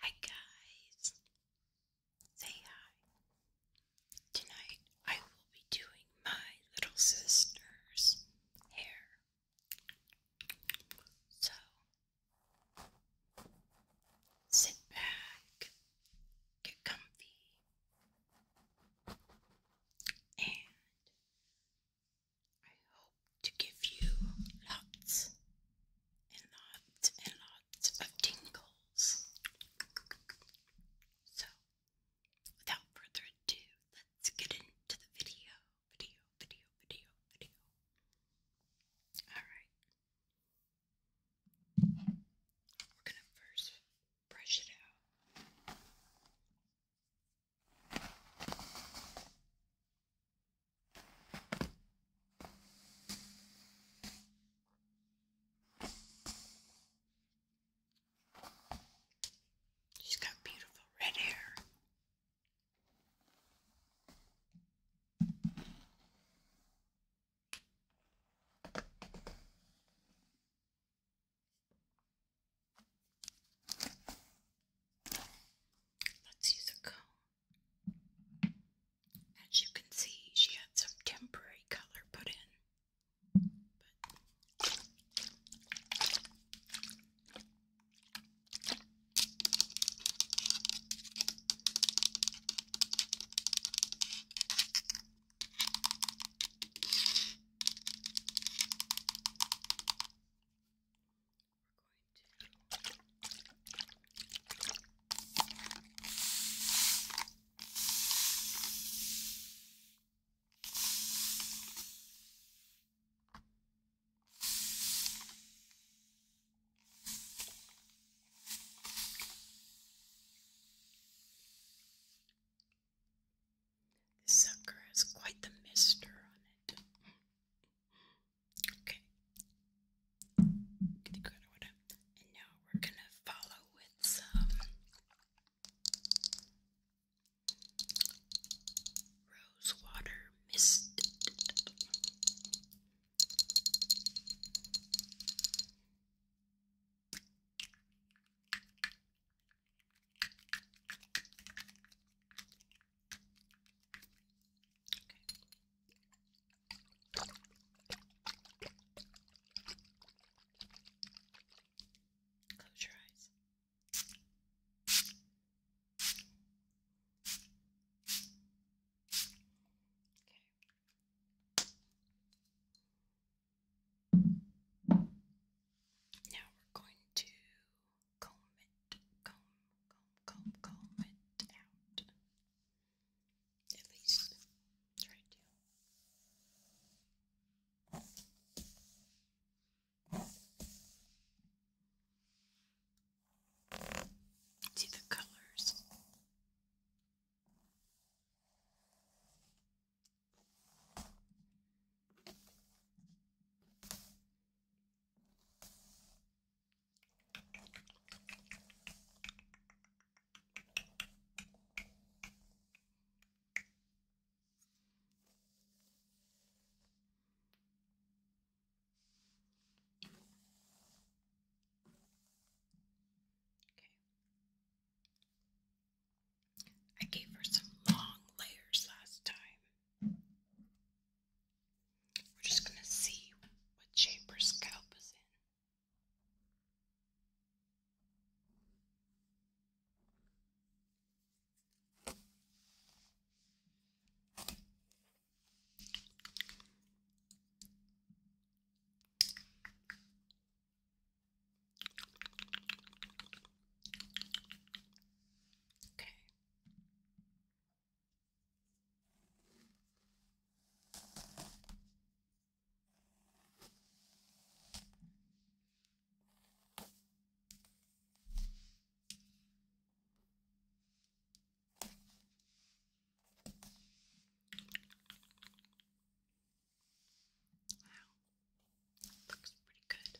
Hi guys, say hi. Tonight I will be doing my little sister's hair. So sit back, get comfy, and I hope to give you lots and lots and lots of tingles. So, without further ado, let's get into the video. Video, video, video, video. Alright. We're going to first brush it out. She's got beautiful red hair. Let's use a comb. As you can see, she had some temporary color put in we're this sucker has quite the mister on it. Okay. And now we're gonna follow with some rose water mist. Okay. Close your eyes. Okay. Now we're going to comb it, comb, comb, comb, comb it out. At least try to. See the colors. I gave her some long layers last time. We're just going to see what shape her scalp is in. Okay. Wow, looks pretty good.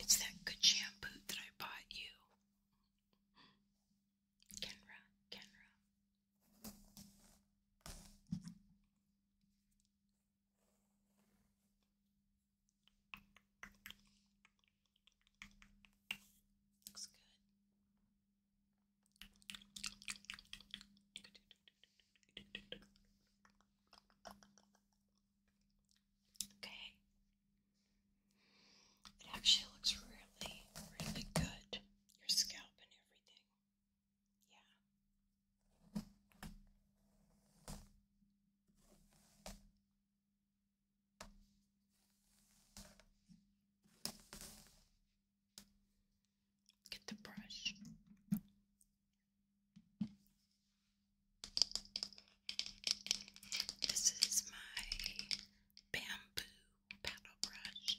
It's that good shampoo that I bought you. Kenra, Kenra. Looks good. Okay. It actually looks really, really good. Your scalp and everything. Yeah. Get the brush. This is my bamboo paddle brush.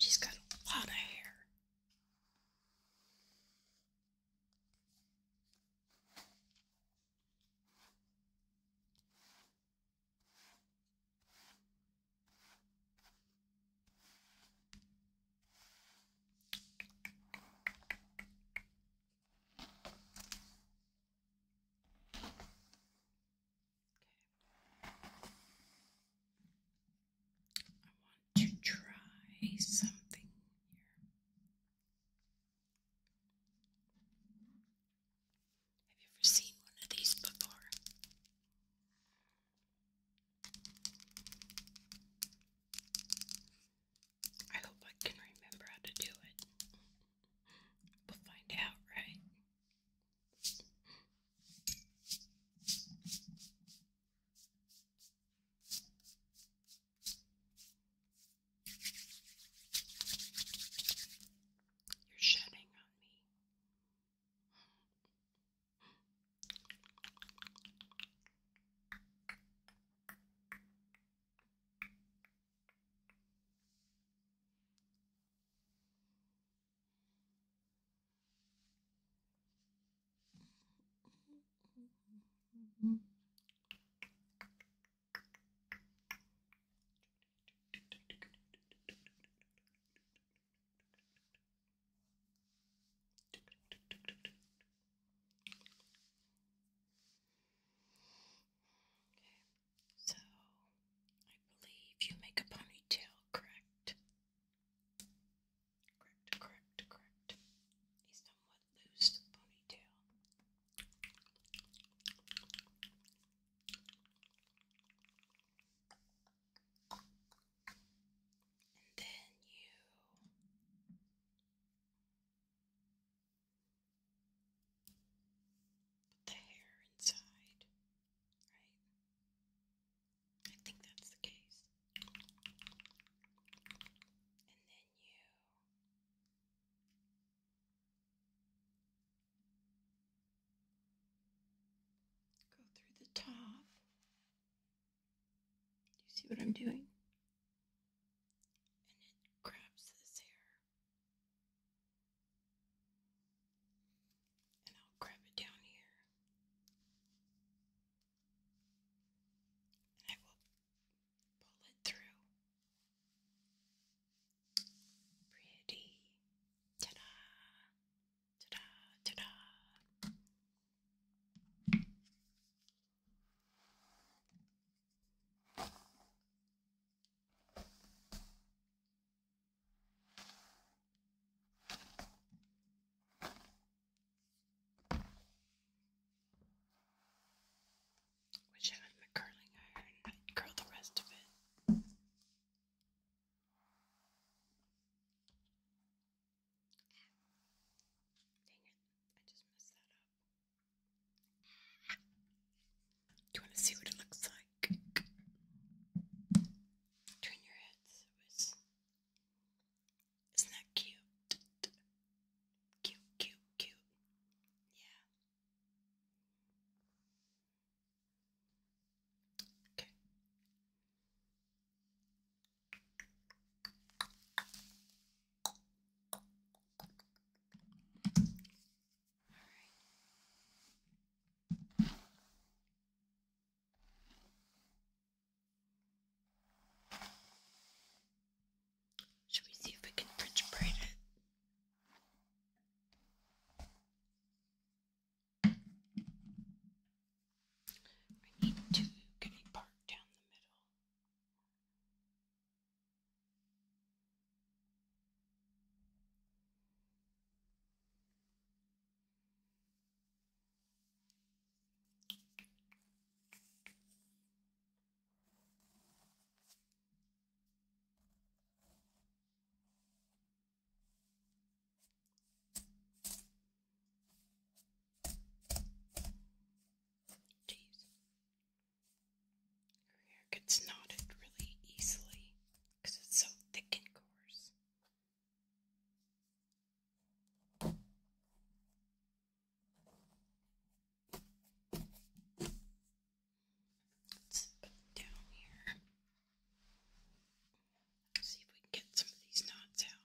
She's got a lot of hair. I want to try something here. Have you ever seen one of these before? I hope I can remember how to do it. We'll find out, right? You're shedding on me. Okay, so I believe you make a ponytail, correct? Correct, correct, correct. somewhat loose ponytail and then you put the hair inside, right? I think that's the case. And then you Go through the top. Do you see what I'm doing? And it grabs this hair. And I'll grab it down here. And I will pull it through. Pretty. Ta-da! Ta-da! Ta-da! Which I have my curling iron. i curl the rest of it. Dang it, I just messed that up. you want to see what it looks like? Turn your head Isn't that cute? Cute, cute, cute. Yeah. Okay. Should we see if we can French it? I need to get a down the middle. Jeez. Her hair gets knotted really easily because it's so thick and coarse. Let's put down here. see if we can get some of these knots out.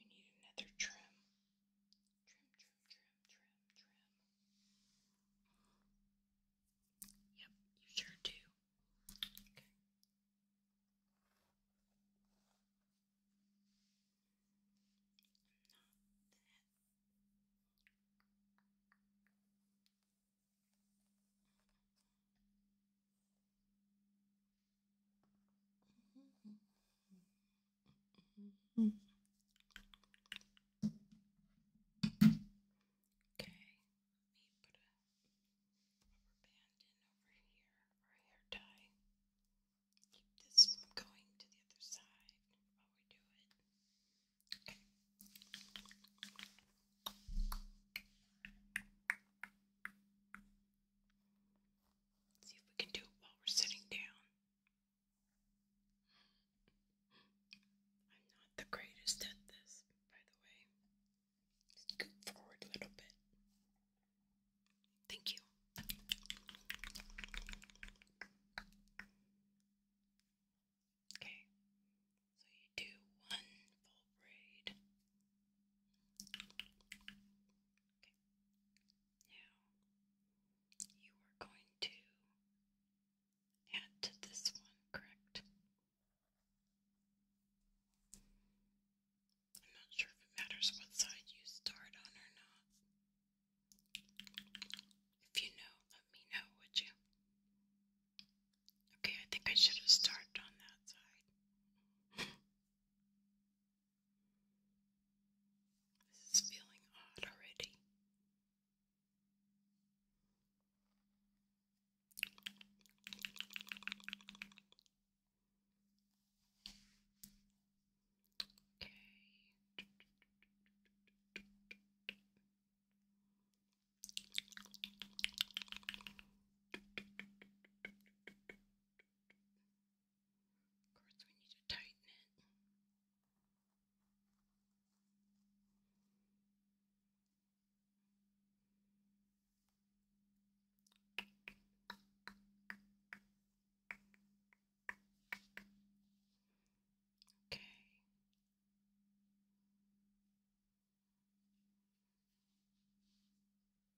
You need another trim. Trim, trim, trim, trim, trim. Yep, you sure do. Okay, let put a band in over here or hair tie. Keep going to the other side while we do Let's see if we can do it while we're sitting down. I'm not the greatest at this, by the way. Scoot forward a little bit. Thank you. Okay, so you do one full braid you are going to add to this one, correct? I'm not sure if it matters what side you start on or not. If you know, let me know, would you? Okay, I think I should have started on that side. This is feeling odd already. Okay. Of course, we need to tighten it. Okay.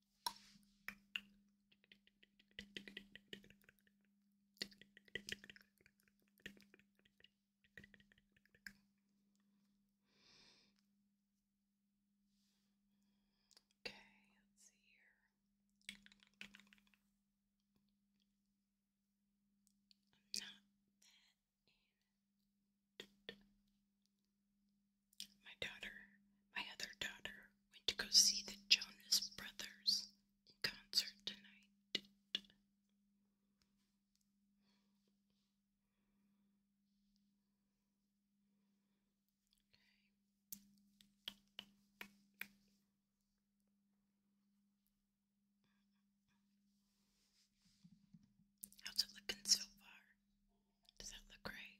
Okay, let's see here. not that My daughter, my other daughter, went to go see the Jonas Brothers concert tonight. How's it looking so far? Does that look right?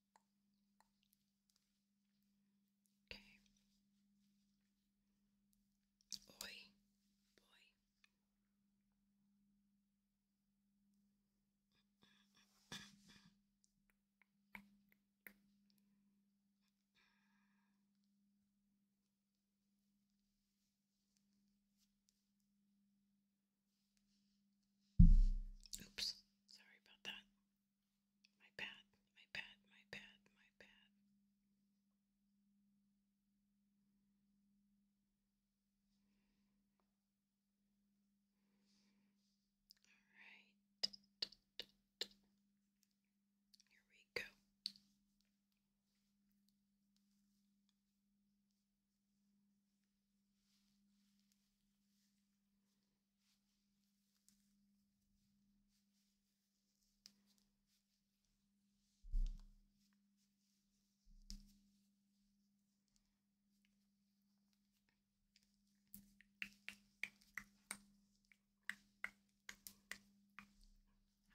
Okay. Oi, boy. Oops, sorry about that. My bad, my bad, my bad, my bad. Alright. Here we go.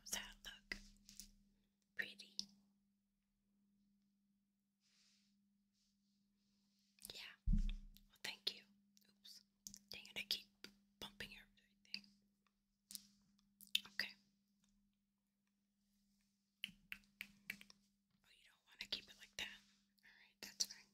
How's that look? Pretty. Yeah. Well, thank you. Oops. Dang it, I keep bumping everything. Okay. Oh, you don't want to keep it like that? Alright, that's fine.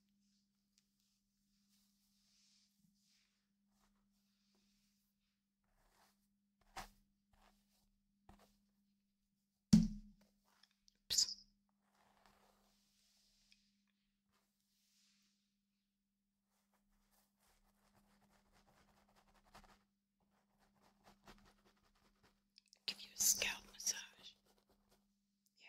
Oops. Give you a scalp massage. Yeah.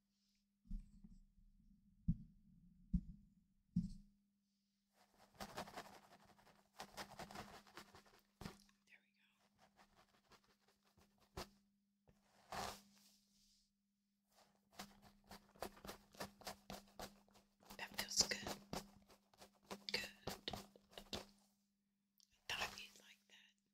There we go. That feels good. Good. I thought you'd like that.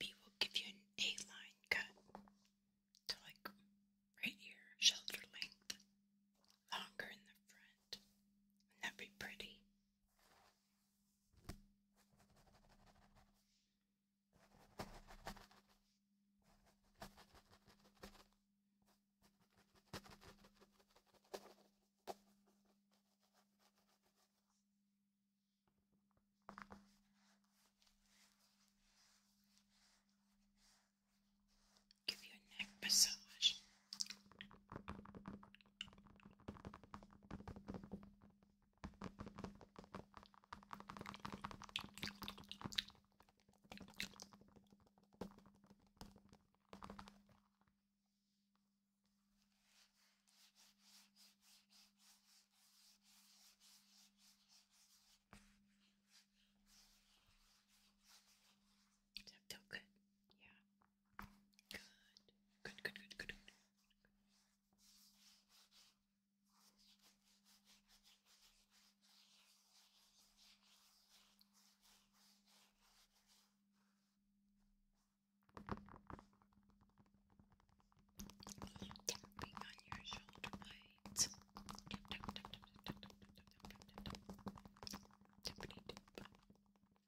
Maybe we'll give you an A-line cut to like right here, shoulder length longer in the front. Wouldn't that be pretty? give you a neck massage. Does that feel good? Yeah. Good, good, good, good, good. good. on your shoulder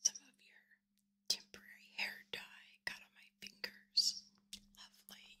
Some of your temporary hair dye got on my fingers. Lovely.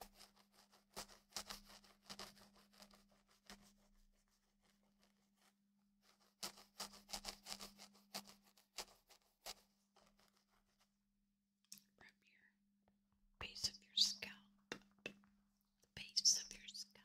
Rub base of your scalp, the base of your scalp.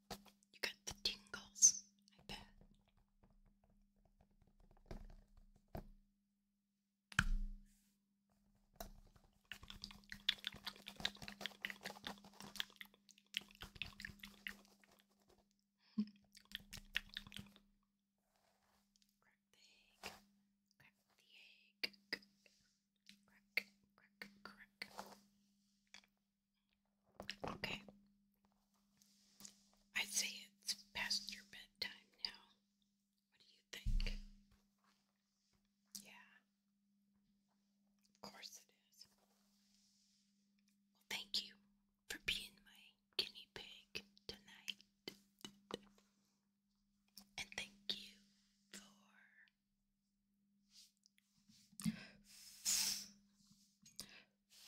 You got the tingles, I bet. Crack the egg, crack the egg, crack, crack, crack. Okay. i say it's past your bedtime now. What do you think? Yeah. Of course it is. Well, thank you for being my guinea pig tonight. And thank you for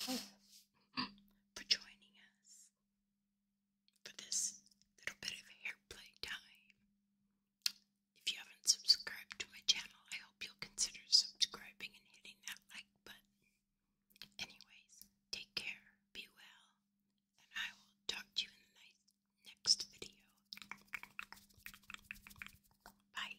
for joining us for this little bit of hair play time. If you haven't subscribed to my channel, I hope you'll consider subscribing and hitting that like button. Anyways, take care, be well, and I will talk to you in the night next video. Bye.